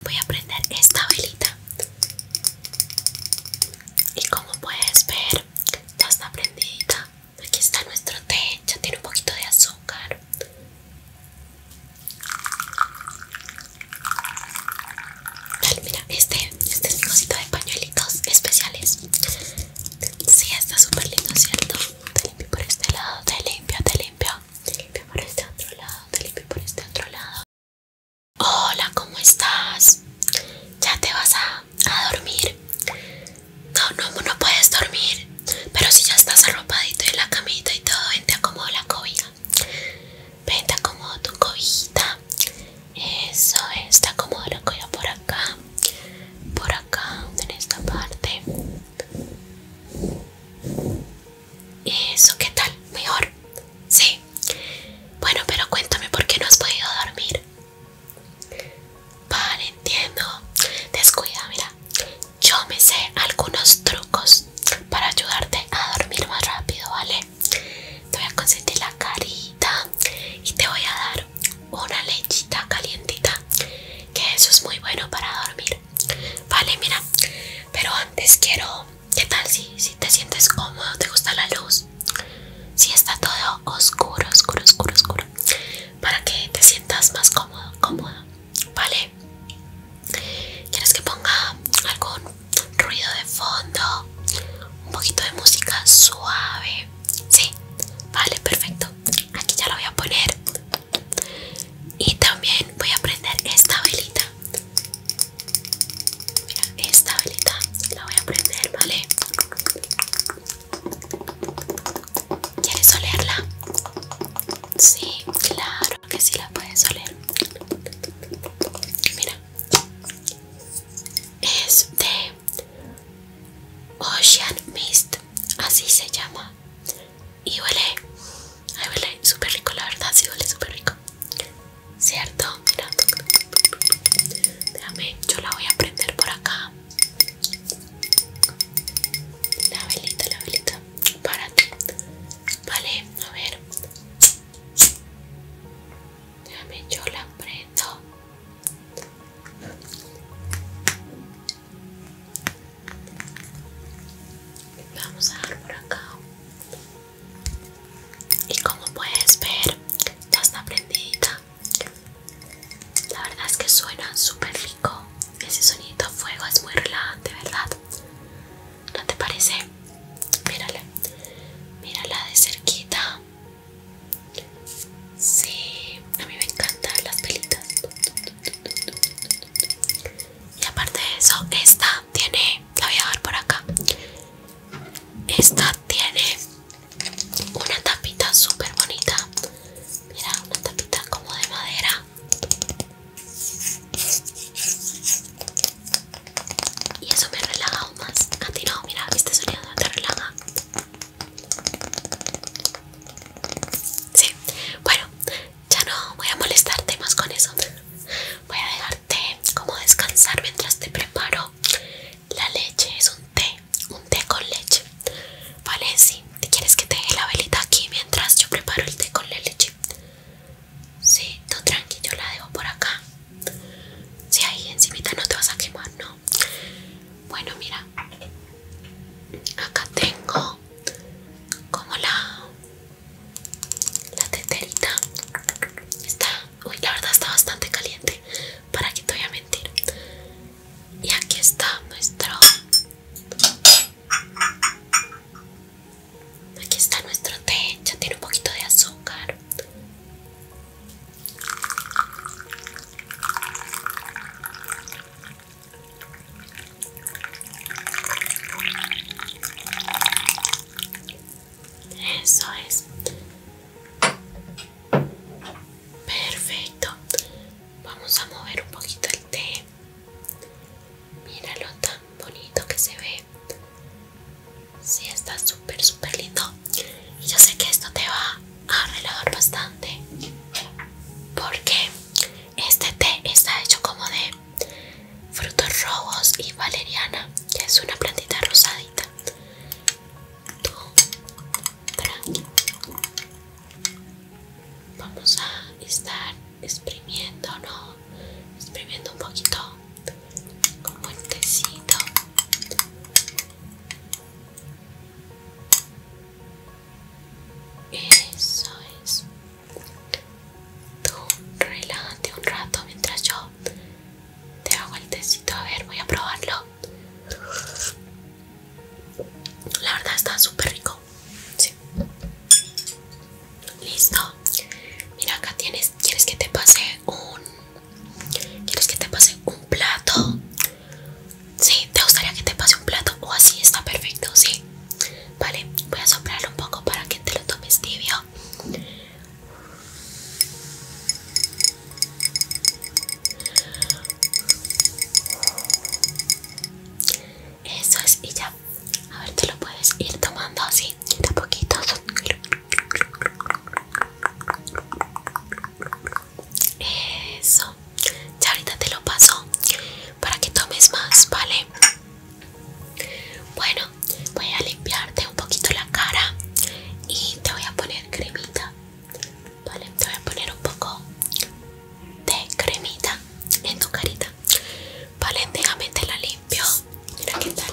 Voy a prender esta velita. Y como puedes ver, ya está prendida. Aquí está nuestro té, ya tiene un poquito de azúcar. Vale, mira, este, este es mi cosito de pañuelitos especiales. Sí, está súper lindo, ¿cierto? Te limpio por este lado, te limpio, te limpio. Te limpio por este otro lado, te limpio por este otro lado. Hola, ¿cómo estás? ¿Ya te vas a, dormir? No, no, no puedes dormir. Pero si ya estás arropadito en la camita y todo, vente te acomodo la cobija. vente te acomodo tu cobijita. Eso es, te acomodo la cobija por acá. Por acá, en esta parte. Eso, ¿qué tal? ¿Mejor? Sí. Bueno, pero cuéntame por qué no has podido dormir. Vale, entiendo. Descuida, mira. Yo me sé algunos trucos para ayudarte a dormir más rápido, ¿vale? Te voy a consentir la carita y te voy a dar una lechita calientita, que eso es muy bueno para dormir. Vale, mira, pero antes quiero ¿Qué tal si, te sientes cómodo? ¿Te gusta la luz? Si está todo oscuro, oscuro, oscuro, oscuro. Para que te sientas más cómodo, cómodo. ¿Vale? ¿Quieres que ponga algún ruido de fondo? Un poquito de música suave. Sí, vale, perfecto. Aquí ya lo voy a poner. Y también voy a prender esta velita. Mira, esta velita la voy a prender, ¿vale? ¿Quieres olerla? Sí, claro que sí la puedes oler. Mira, es de Ocean Mist, así se llama. Y huele, ay huele súper rico, la verdad, sí huele súper rico. ¿Cierto? Mira. Déjame, yo la voy a prender por acá. La velita, la velita para ti. Vale, a ver. Déjame, yo la prendo vamos a dejar por acá y como puedes ver ya está prendida la verdad es que suena súper rico ese sonido a fuego es muy relajante verdad no te parece mírala mírala de cerquita sí a mí me encantan las pelitas y aparte de eso esta tiene, la voy a ver por acá. Esta tiene una tapita súper bonita. Mira, una tapita como de madera. Y eso me relaja aún más. A ti no, mira, este sonido te relaja. Sí, bueno, ya no voy a molestarte más con eso. Voy a dejarte como descansar mientras te preparo la leche. Es un té, un té con leche. Vale, sí. ¿Te quieres que te deje la velita aquí mientras yo preparo el té con la leche? Sí, tú tranquilo yo la dejo por acá. Si sí, ahí encimita no te vas a quemar, no. Bueno, mira. Acá tengo como la la teterita está, uy la verdad está bastante caliente, para que te voy a mentir. Y aquí está nuestro, aquí está nuestro té, ya tiene un poquito de azúcar. Eso es. Perfecto. Vamos a mover un poquito el té. Míralo tan bonito que se ve. Sí, está súper, súper lindo. yo sé que esto te va a arreglar bastante. Porque este té está hecho como de frutos rojos y valeriana, que es una plantita rosadita. Vamos a estar exprimiendo, ¿no? Exprimiendo un poquito como el tecito. Eso es. Tú relájate un rato mientras yo te hago el tecito. A ver, voy a probarlo. La verdad está súper rico. Listo. Mira, acá tienes. ¿Quieres que te pase un. ¿Quieres que te pase un plato? Sí, te gustaría que te pase un plato. O oh, así está perfecto, sí. Vale, voy a soplarlo un poco para que te lo tomes tibio. Eso es, y ya. A ver, te lo puedes ir tomando así, de a poquito Eso. Ya ahorita te lo paso para que tomes más, ¿vale? Bueno, voy a limpiarte un poquito la cara y te voy a poner cremita. te voy a poner un poco de cremita en tu carita. Vale, déjame te la limpio. Mira qué tal.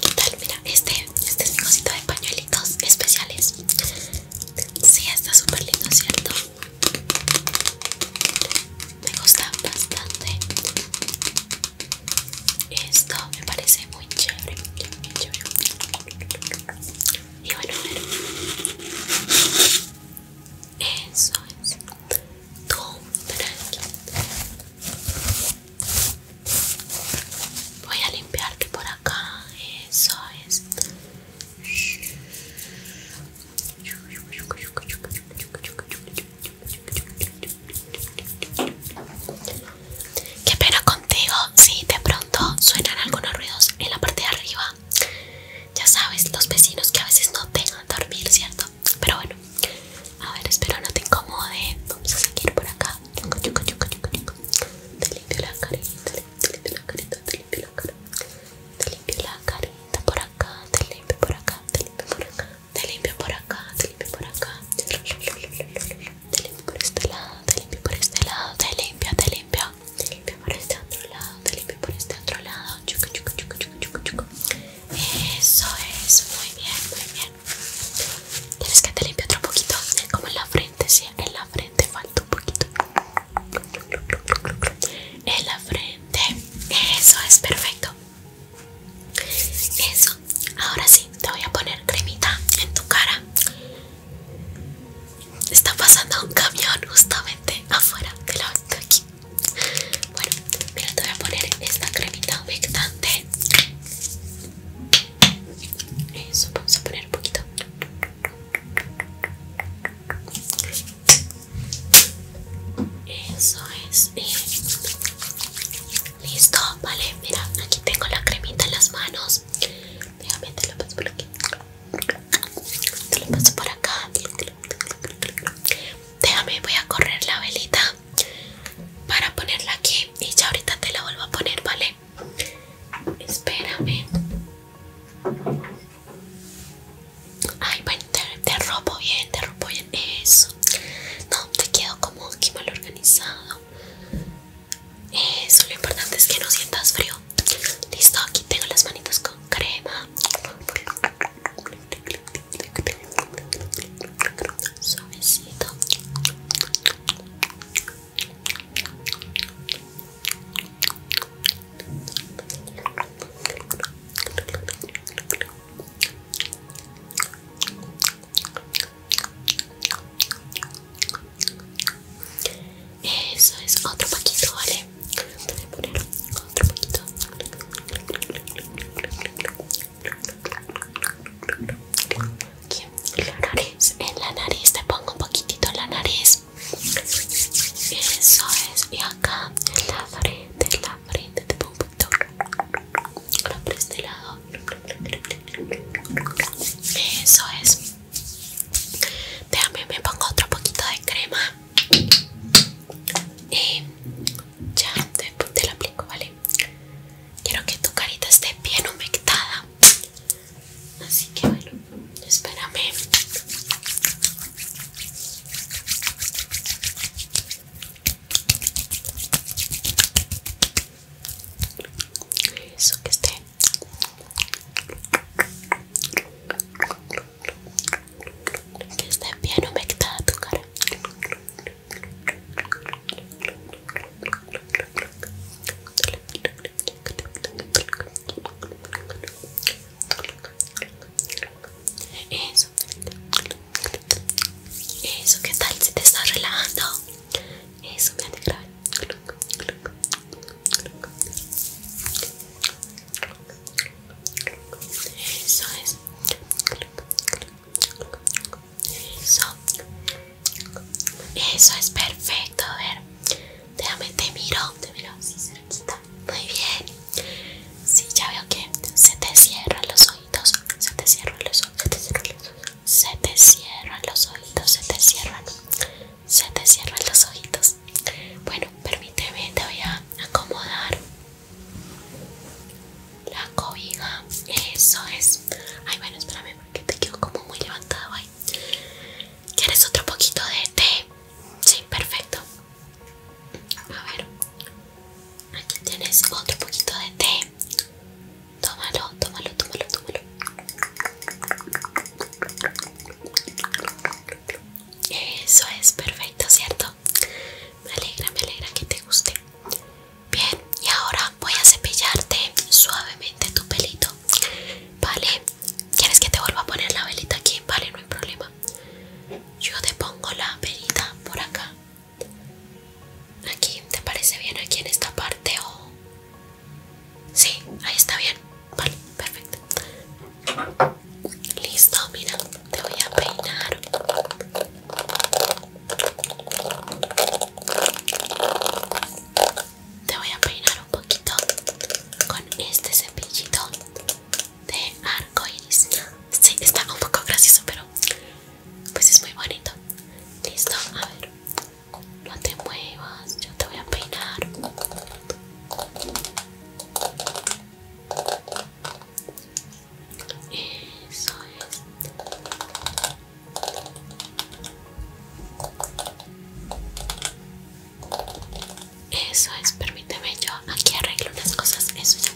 ¿Qué tal? Mira, este, este es cosito de pañuelitos especiales. Sí, está súper lindo, ¿cierto? me gusta bastante esto me parece muy chévere, y bueno eso es todo voy a limpiarte por acá eso es Qué pena contigo si de pronto suenan algunos ruidos en la parte de arriba. Ya sabes, los vecinos que a veces no tengan dormir, ¿cierto? Pero bueno, a ver, espero no te incomode. Vamos a seguir por acá. Te limpio la carita, te limpio la carita, te limpio la carita te limpio la carita por acá, te limpio por acá, te limpio por acá, te limpio por acá, te limpio por acá, te limpio por este lado, te limpio por este lado, te limpio, te limpio, te limpio por este otro lado, te limpio por este otro lado, chuca, chuca, chuca, chuca, chuca, chuca. Eso es, muy bien, muy bien. Tienes que te limpio otro poquito? Como en la frente, sí, en la frente falta un poquito en la frente. Eso es perfecto. Eso. Ahora sí, te voy a poner cremita en tu cara. Está pasando un camión justamente afuera de la de aquí. Bueno, mira, te voy a poner esta cremita humectante. Eso, vamos a poner un poquito. Eso es. Eh. Listo, vale. Mira, aquí tengo la cremita en las manos. Déjame, te lo paso por aquí. Te lo paso por acá. Déjame, voy a correr la velita para ponerla aquí y ya ahorita te la vuelvo a poner, ¿vale? Espérame. Ay, bueno, te, robo bien, te robo bien eso. No, te quedo como aquí mal organizado. Eso, lo importante es que no sientas frío. Listo, aquí tengo las manitas con crema. Suavecito. Eso es otro paquito, ¿vale? otro paquito. Aquí la nariz, en la nariz te pongo un poquitito en la nariz. Eso es, y acá en la frente, en la frente te pongo un poquito por este lado Eso es Déjame, me pongo otro poquito de crema Y ya, después te lo aplico, ¿vale? Quiero que tu carita esté bien humectada Así que bueno, espérame eso que esté que esté bien humectada tu cara eso. Eso, ¿qué tal si te está relajando? Eso me alegra. Eso es. Eso. Eso es perfecto, ver. Déjame, te miro, te miro así cerquita. Muy bien. Sí, ya veo que se te cierran los ojitos. Se te cierran los ojitos. Se te cierran los ojitos. Se te cierran los ojitos. Se te cierran. los ojitos. Bueno, permíteme, te voy a acomodar la cobija. Eso es. Ay, bueno, espérame porque te quedo como muy levantado ahí. ¿Quieres otro poquito de té? Sí, perfecto. A ver, aquí tienes otro poquito de té. Tómalo, tómalo, tómalo, tómalo. Eso es perfecto, ¿cierto? Me alegra, me alegra que te guste. Bien, y ahora voy a cepillarte suavemente tu pelito. Vale, ¿Quieres que te vuelva a poner la velita aquí? Vale, no hay problema. Yo te pongo la velita por acá. Aquí, ¿te parece bien? Aquí en esta parte o... Sí, ahí está bien. Vale, perfecto. Listo, mira, te voy a peinar. Te voy a peinar poquito con este cepillito de arco iris. Sí, está un poco gracioso, pero pues es muy bonito. Listo, a ver, no te muevas, yo te voy a peinar. Eso es. Eso es, permíteme yo aquí arreglo unas cosas, eso ya.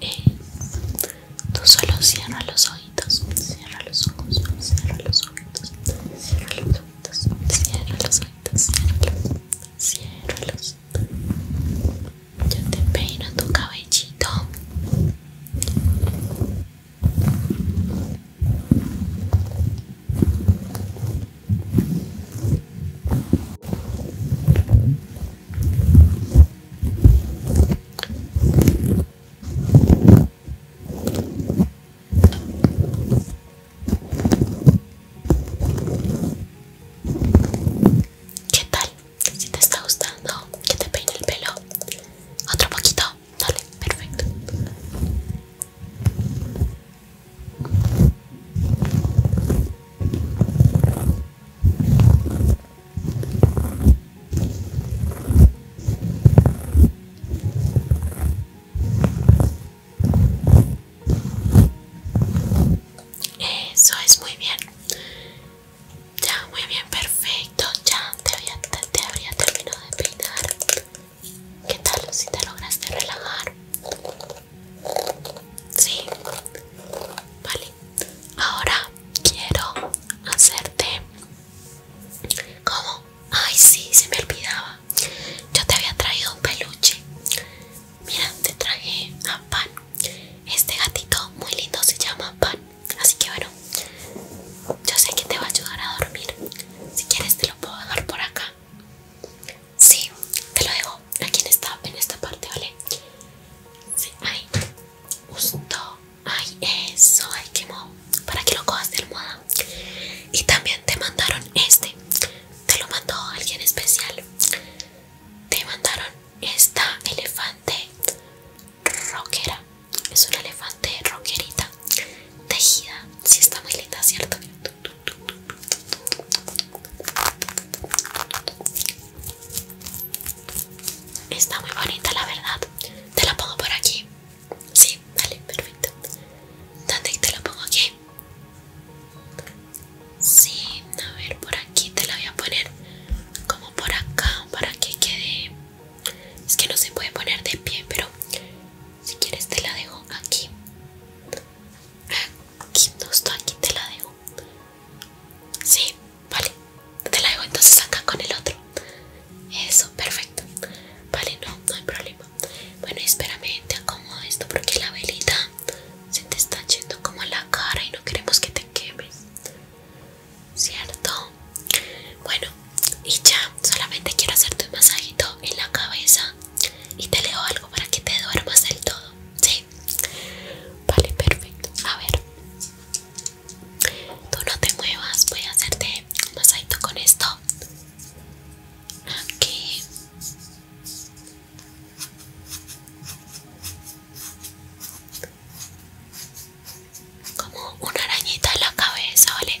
Eh, tú solo cierra los ojitos, cierra los ojos, cierra los cierra los ojos, cierra los cierra los Yo te peino tu cabellito. ¿Qué tal? Si te está gustando que te peine el pelo Otro poquito Dale, perfecto eso es muy bien. Ya, muy bien, perfecto. Ya te, había, habría terminado de peinar. ¿Qué tal si te lograste relajar? Sí, vale, ahora quiero hacerte... ¿Cómo? Ay, sí, se me olvidaba. Yo te había traído un peluche. Mira, te traje a Pan. Este gatito muy lindo se llama Pan. Así que bueno, yo sé que te va a ayudar a dormir. Si quieres te lo puedo dejar por acá. Sí, te lo dejo aquí en esta, en esta parte, ¿vale? Sí, ahí. Justo. Ay, eso. Ay, quemó. Para que lo cojas de almohada. Y también te mandaron este. Te lo mandó alguien especial. Te mandaron esta elefante rockera. Es una elefante rockerita. Tejida. Si está muy linda, ¿cierto? Está muy bonita, la verdad. Te la pongo por aquí. Sí, dale perfecto. ¿Dónde te la pongo aquí? Sí, a ver, por aquí te la voy a poner como por acá para que quede. Es que no se puede poner de pie, pero si quieres te la dejo aquí. Aquí, justo aquí te la dejo. Sí, vale. Te la dejo entonces acá con el otro. Eso, perfecto. Vale, no, no hay problema. Bueno, espérame, te acomodo esto porque la velita se te está yendo como a la cara y no queremos que te quemes. ¿Cierto? Bueno, y ya, solamente quiero hacerte un masajito en la cabeza y te leo algo para que te duermas del todo. Sí. Vale, perfecto. A ver. Tú no te muevas. Voy a hacerte un masajito con esto. Aquí. Como una arañita en la cabeza, ¿vale?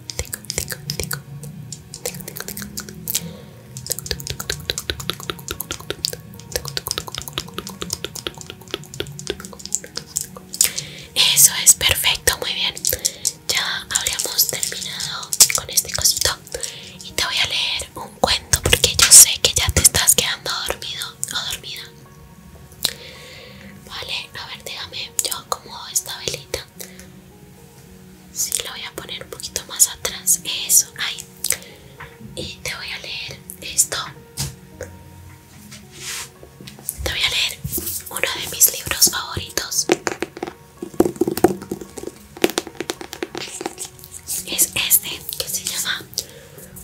Eso es perfecto, muy bien. Ya habríamos terminado con este cosito y te voy a leer un cuento porque yo sé que ya te estás quedando dormido o dormida. Vale, a ver, déjame yo acomodo esta velita. Sí, lo voy a poner un poquito más atrás. Eso, ahí. Y te voy a leer esto. Te voy a leer uno de mis libros favoritos. Es este que se llama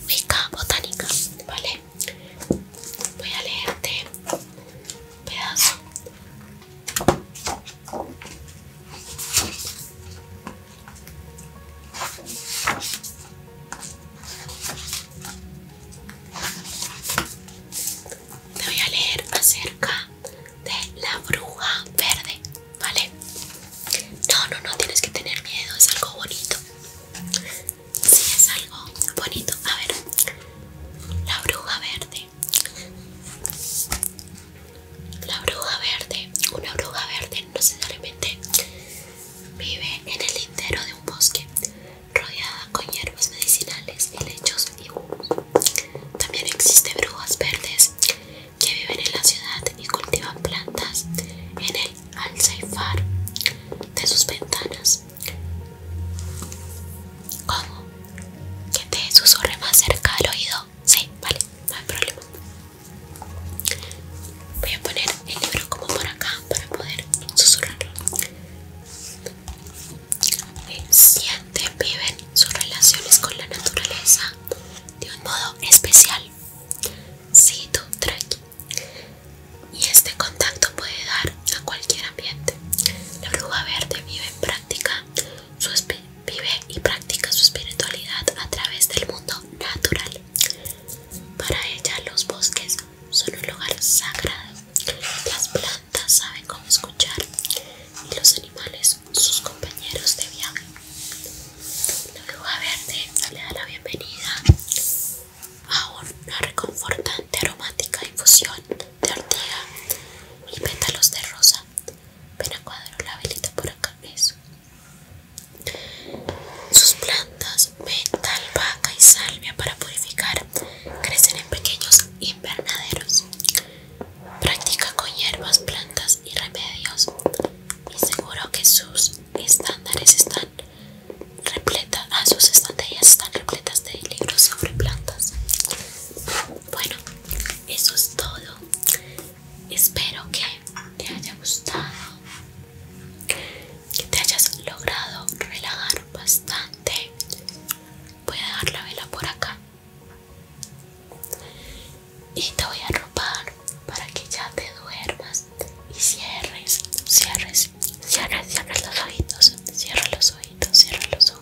Wicca Botánica, ¿vale? Voy a leerte un pedazo te voy a leer acerca de la bruja verde, ¿vale? No, no, no tienes que tener miedo, es algo bonito. Sí, es algo bonito. A ver, la bruja verde la bruja verde, una bruja verde no necesariamente vive en el interior de un bosque, rodeada con hierbas medicinales, Y y vivos También existen brujas verdes que viven en la ciudad y cultivan plantas en el far de sus ventanas, como que te susurre más cerca al oído. Sí, vale, no hay problema. Voy a poner el libro como por acá para poder susurrarlo. Siente, viven sus relaciones con la naturaleza de un modo especial. Sí, tú, aquí Y este contacto puede dar a cualquier ambiente. La bruja verde vive en práctica su vive y practica su espiritualidad a través del mundo natural. Para ella los bosques son un lugar sagrado, las plantas saben cómo escuchar y los animales sus compañeros de viaje. La bruja verde le da la bienvenida a una reconfortante aromática infusión de ortiga y pétalos de rosa. Ven a cuadro la velita por acá, Sus plantas, metal, vaca y salvia para purificar, crecen en pequeños invernaderos. Practica con hierbas, plantas y remedios. Y seguro que sus estándares están repletas, a ah, sus estanterías están repletas de libros sobre plantas bueno eso es todo espero que te haya gustado que te hayas logrado relajar bastante voy a dar la vela por acá y te voy a arropar para que ya te duermas y cierres, cierres, cierres, cierres los ojitos, cierra los ojitos, cierra los ojos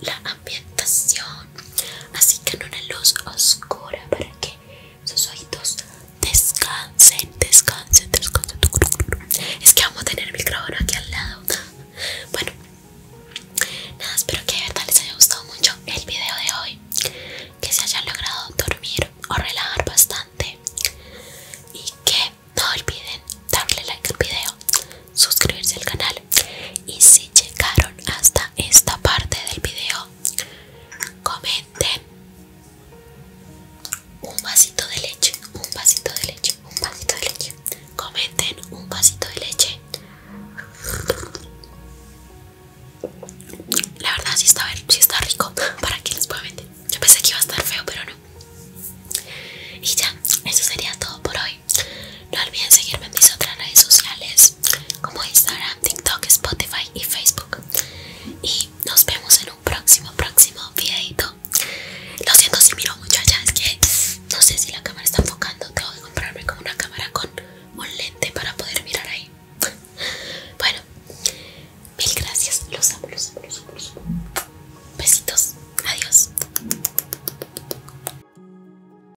la ambientación así que en una luz oscura para que sus oídos descansen descansen descansen es que vamos a tener el micrófono aquí al lado bueno nada espero que de verdad les haya gustado mucho el video de hoy que se hayan logrado dormir o relajar bastante y que no olviden darle like al video suscribirse al canal y si llegaron hasta esta parte del video, comenten un vasito de leche, un vasito de leche, un vasito de leche. Comenten un vasito de leche. La verdad si está, sí está rico, para que les pueda vender Yo pensé que iba a estar feo, pero no. Y ya, eso sería todo por hoy. No olviden seguirme en mis otras redes sociales como Instagram, TikTok, Spotify y Facebook. Y nos vemos en un próximo, próximo videito. Lo siento si miro mucho allá, es que no sé si la cámara está enfocando. Tengo que comprarme como una cámara con un lente para poder mirar ahí. Bueno, mil gracias. Los amos, los Besitos. Adiós.